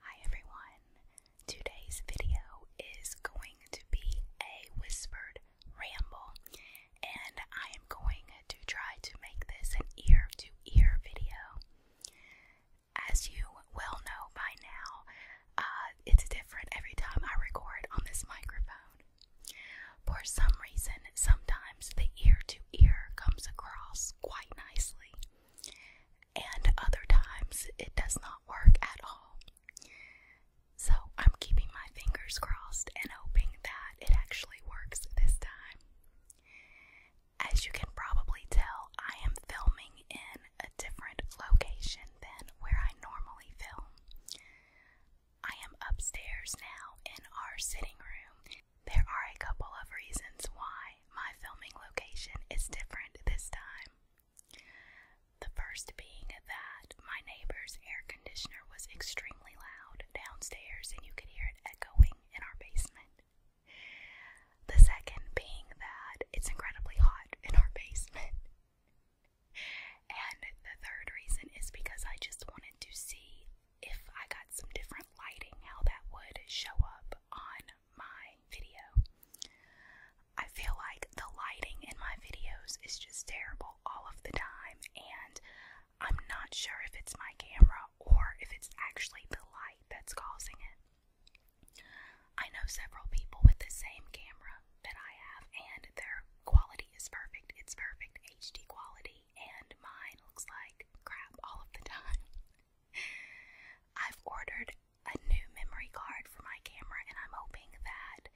Hi everyone! Today's video is going to be a whispered ramble, and I am going to try to make this an ear to ear video. As you well know by now, uh, it's different every time I record on this microphone. For some reason, sometimes the ear to ear comes across quite nicely, and other times it does not work at all. So I'm keeping my fingers crossed and hoping that it actually works this time. As you can probably tell, I am filming in a different location than where I normally film. I am upstairs now in our sitting room there are a couple of reasons why my filming location is different this time. The first being that my neighbor's air conditioner was extremely loud downstairs and you could hear it echoing in our basement. The second being that it's incredibly hot in our basement. And the third reason is because I just wanted to see if I got some different lighting, how that would show up on my video. I feel like the lighting in my videos is just terrible all of the time, and I'm not sure if it's my camera or if it's actually the light that's causing it. I know several people with the same camera that I have, and their quality is perfect. It's perfect HD quality, and mine looks like crap all of the time. I've ordered a new memory card for my camera, and I'm hoping that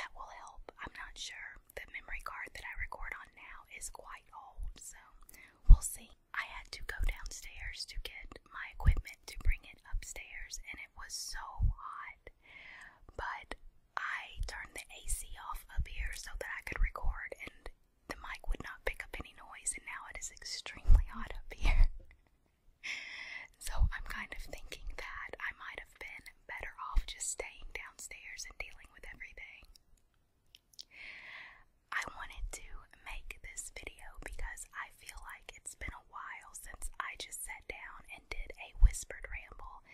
that will help. I'm not sure. The memory card that I record on now is quite old, so we'll see. I had to go downstairs to get my equipment to bring it upstairs, and it was so hot. But I turned the AC off up here so that I could record, the mic would not pick up any noise, and now it is extremely hot up here. so I'm kind of thinking that I might have been better off just staying downstairs and dealing with everything. I wanted to make this video because I feel like it's been a while since I just sat down and did a whispered ramble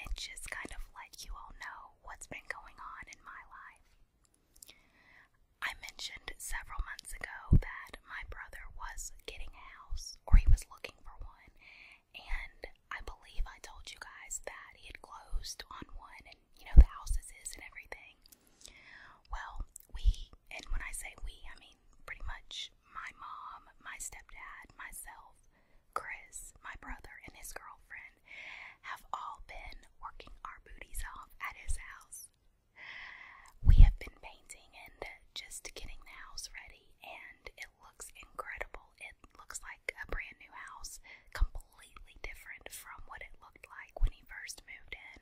and just kind of let you all know what's been going on in my life. I mentioned several months ago that my brother was getting a house, or he was looking for one, and I believe I told you guys that he had closed on one and, you know, the houses is and everything. Well, we, and when I say we, I mean pretty much my mom, my stepdad, myself, Chris, my brother, and his girlfriend have all been working our booties off at his house. We have been painting and just getting the house ready, and it looks incredible. It looks like a brand new house, completely different from what it looked like when he first moved in.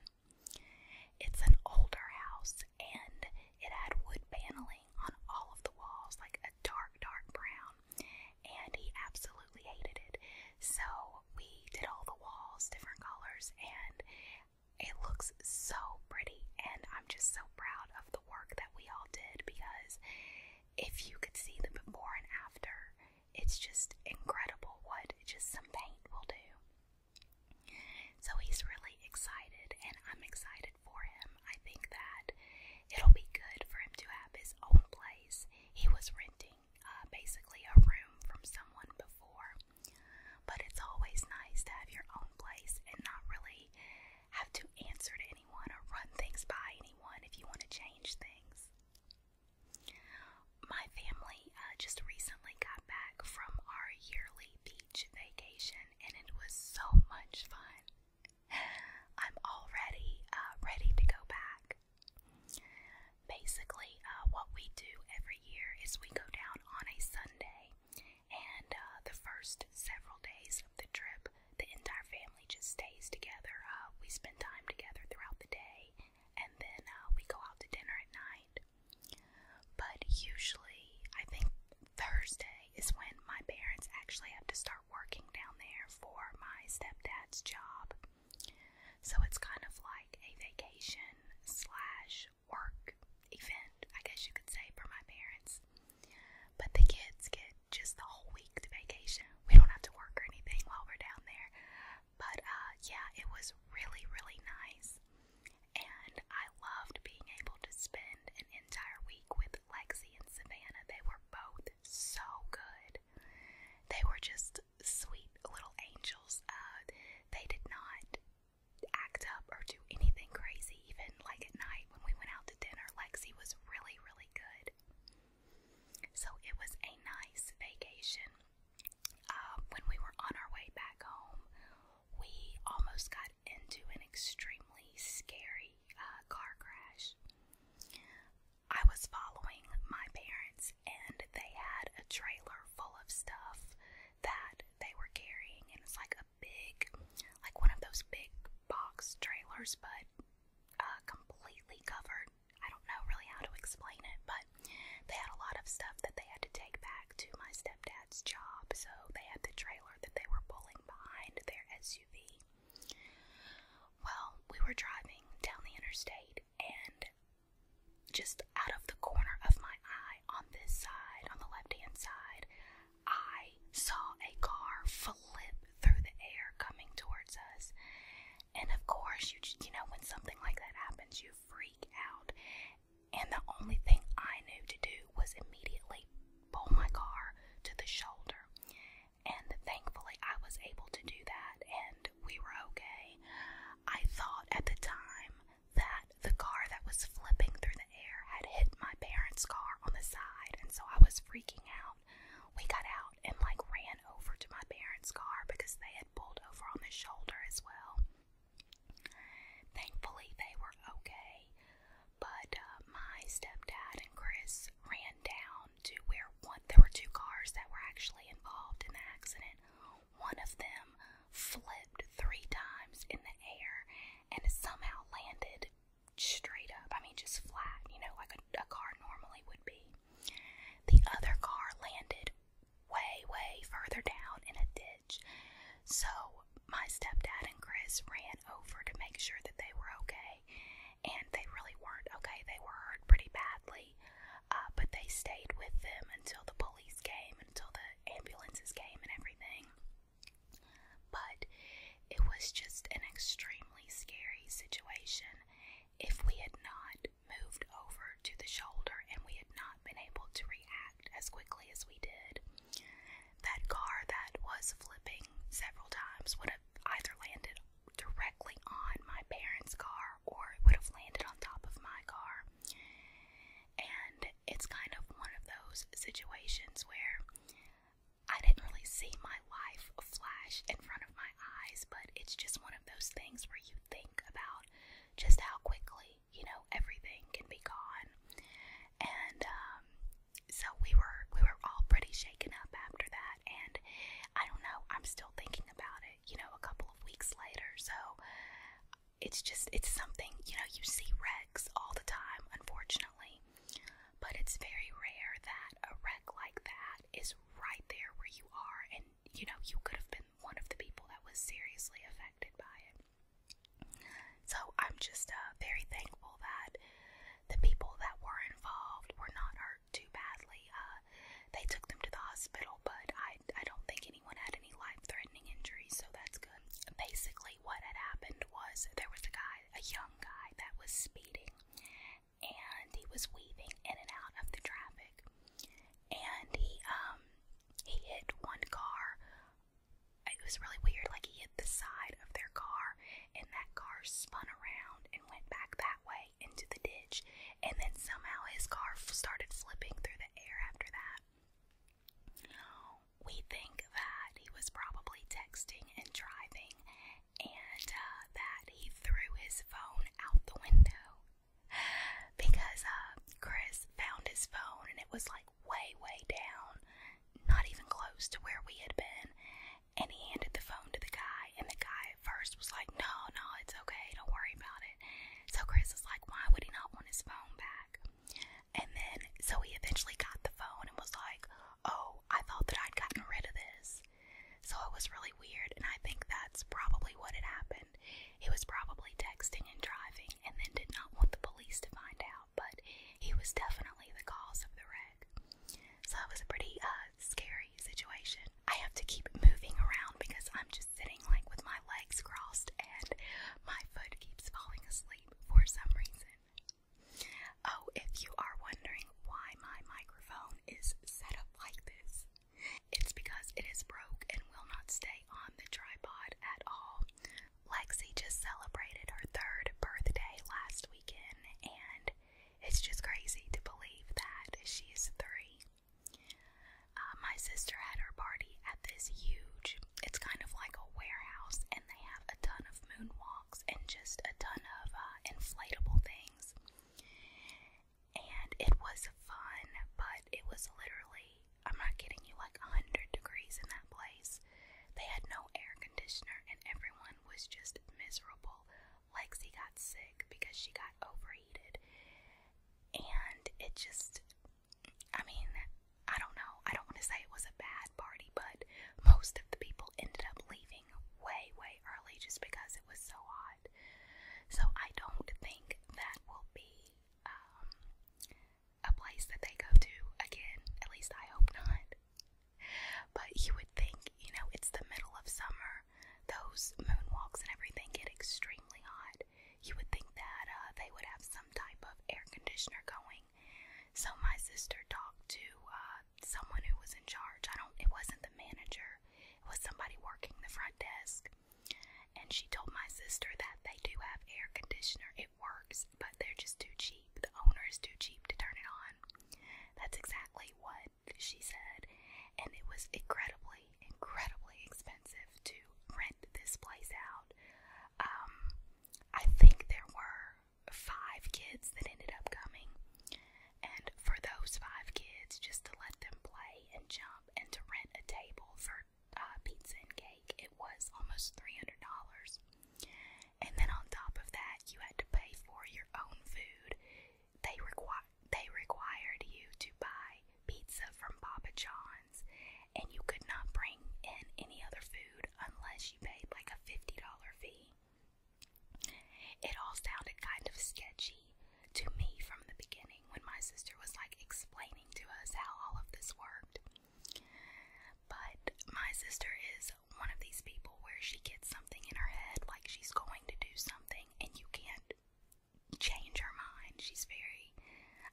It's an older house, and it had wood paneling on all of the walls, like a dark, dark brown and he absolutely hated it. So we did all the walls different colors, and it looks so pretty. And I'm just so proud of the work that we all did because if you could see the before and after, it's just incredible what just some paint will do. So he's really excited, and I'm excited for him. I think that it'll be good for him to have his own place. He was renting uh, basically a room from someone before. But it's always nice to have your own place and not really have to answer to anyone or run things by anyone if you want to change things. My family uh, just recently got back from our yearly beach vacation and it was so much fun. I'm already uh, ready to go back. Basically, uh, what we do every year is we go down on a Sunday, and uh, the first several days of the trip, the entire family just stays together. Uh, we spend time together throughout the day, and then uh, we go out to dinner at night. But usually, I think Thursday is when my parents actually have to start working down there for my stepdad's job. So it's kind of like a vacation slash work event, I guess you could say, for my parents. But the kids get just the whole week to vacation. We don't have to work or anything while we're down there. But uh, yeah, it was really, really nice. And I loved being able to spend an entire week with Lexi and Savannah. They were both so good. They were just sweet little angels. Uh, they did not act up or do anything crazy, even like at night when we went out to dinner. Lexi was really, really good. So it was a nice vacation. Uh, when we were on our way back home, we almost got into an extremely scary uh, car crash. I was following my parents, and they had a trailer full of stuff that they were carrying, and it's like a big, like one of those big box trailers, but uh, completely covered. I don't know really how to explain it, but they had a lot of stuff that they had to take back to my stepdad's job, so they had the trailer that they were pulling behind their SUV. Well, we were driving down the interstate, and just out of the corner of my eye on this side, on the left hand side, I saw a car flip through the air coming towards us. And of course, you, you know, when something like that happens, you freak out. And the only thing I knew to do was immediately pull my car to the shoulder and thankfully I was able to do that and we were okay. I thought at the time that the car that was flipping through the air had hit my parents' car on the side, and so I was freaking out. We got out and like ran over to my parents' car because they had pulled over on the shoulder as well. Thankfully, they were okay, but uh, my stepdad and Chris ran down to where one there were two cars that were actually involved in the accident. One of them flipped three times in the air and somehow landed straight up. I mean, just flat, you know, like a, a car normally would be. The other car landed way, way further down in a ditch. So my stepdad and Chris ran over to make sure that they were okay and they really weren't okay. They were hurt pretty badly, uh, but they stayed with them until the police came, until the ambulances came, and everything. But it was just an extremely scary situation. If we had not moved over to the shoulder and we had not been able to react as quickly as we did, that car that was flipping several times would have would have either landed directly on my parents' car or it would have landed on top of my car. And it's kind of one of those situations where I didn't really see my life flash in front of my eyes, but it's just one of those things where you think about just how quickly, you know, everything can be gone. And um, so we were we were all pretty shaken up after that, and I don't know. I'm still thinking about it. You know, a couple of weeks later. So it's just it's something you know you see wrecks all the time, unfortunately, but it's very rare that a wreck like that is right there where you are, and you know you could have been one of the people that was seriously affected by it. So I'm just uh, very thankful that the people that were involved were not hurt too badly. Uh, they took them to the hospital, but I, I don't think anyone had any life threatening injuries, so that's good. Basically, what had happened was there was a guy, a young guy, that was speeding, and he was weaving in and out of the traffic, and he, um, he hit one car. It was really weird, like he hit the side of their car and that car spun around and went back that way into the ditch, and then somehow his car started flipping through the air after that. We think that he was probably texting and driving, and uh, that he threw his phone out the window because uh, Chris found his phone and it was like way, way down, not even close to where we had been and he handed the phone to the guy, and the guy at first was like, No, no, it's okay, don't worry about it. So Chris is like, Why would he not want his phone back? And then, so he eventually got the phone and was like, Oh, I thought that I'd gotten rid of this. So it was really weird, and I think that's probably what had happened. He was probably texting and driving, and then did not want the police to find out, but he was definitely the cause of the wreck. So it was a pretty uh, scary situation. I have to keep moving around because I'm just sitting like with my legs crossed and my foot keeps falling asleep for some reason. Oh, if you are wondering why my microphone is set up like this, it's because it is broke and will not stay on the tripod at all. Lexi just celebrated her third birthday last weekend, and it's just crazy to believe that she's three. Uh, my sister had her party at this huge, it's kind of like a warehouse, and they have a ton of moonwalks and just a ton of uh, inflatable things. And it was fun, but it was literally, I'm not kidding you, like 100 degrees in that place. They had no air conditioner, and everyone was just miserable. Lexi got sick because she got overheated. And it just, I mean, I don't know. I don't want to say it was a bad party, but most of the people ended up leaving way, way early just because it was so hot. So I don't think that will be um, a place that they go to again. At least I hope not. But you would think, you know, it's the middle of summer. Those moonwalks and everything get extremely hot. You would think that uh, they would have some type of air conditioner going. So my sister talked to uh, someone who was in charge. I don't. It wasn't the manager. It was somebody working the front desk. And she told my sister that they do have air conditioner it works, but they're just too cheap. The owner is too cheap to turn it on. That's exactly what she said. And it was incredibly, incredibly expensive to rent this place out. Um, I think there were five kids that ended up coming. And for those five kids, just to let them play and jump and to rent a table for uh, pizza and cake, it was almost $300 and then on top of that, you had to pay for your own food. They require they required you to buy pizza from Papa John's, and you could not bring in any other food unless you paid like a fifty dollar fee. It all sounded kind of sketchy to me from the beginning when my sister was like explaining to us how all of this worked. But my sister is one of these people where she gets something in her head, like she's going to do something, and you can't change her mind. She's very,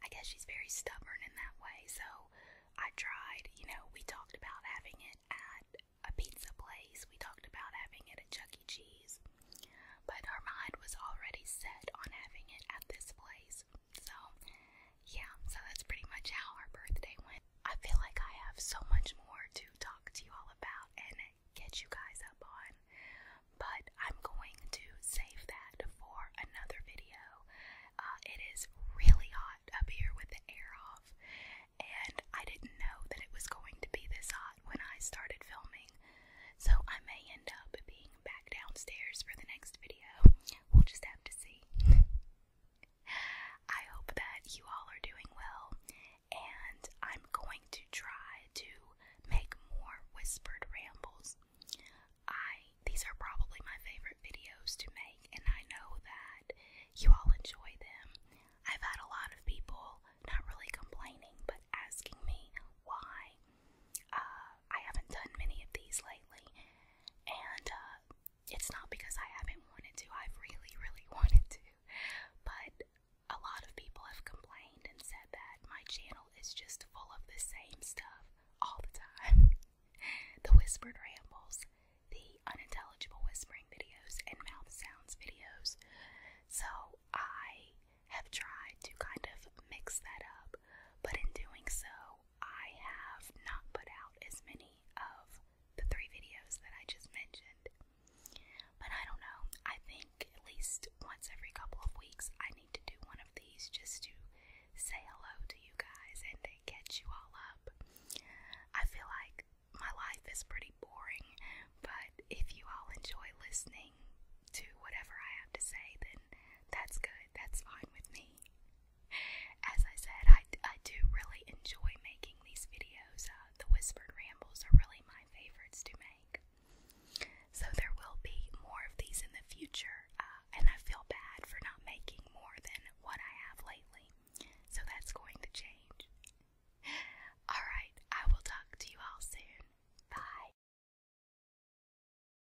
I guess, she's very stubborn in that way. So I tried, you know, we talked about having it at a pizza place, we talked about having it at Chuck E. Cheese, but her mind was already set on having it at this place. So, yeah, so that's pretty much how our birthday went. I feel like I have so much more to talk to you all about and get you guys up on, but I'm going to save that for another video. Uh, it is really hot up here with the air off, and I didn't know that it was going to be this hot when I started filming, so I may end up being back downstairs for the next video. We'll just have to see. I hope that you all are doing well, and I'm going to try to make more whispered rambles. I these are probably my favorite videos to make, and I know that you all enjoy them. I've had a lot of people not really complaining, but asking me why uh, I haven't done many of these lately, and uh, it's not because I haven't wanted to, I've really, really wanted to, but a lot of people have complained and said that my channel is just full of the same stuff all the time the whispered rambles, the unintelligible whispering videos, and mouth sounds videos. So I have tried to kind of mix that up, but in doing so, I have not put out as many of the three videos that I just mentioned. But I don't know. I think at least once every couple of weeks I need to do one of these just to say hello to you guys and catch you all up. I feel like my life is pretty boring, but if you all enjoy listening to whatever I have to say, then that's good. That's fine with me. As I said, I, I do really enjoy making these videos. Uh, the Whispered Rambles are really my favorites to make. So there will be more of these in the future, uh, and I feel bad for not making more than what I have lately. So that's going to change. Alright, I will talk to you all soon. Bye.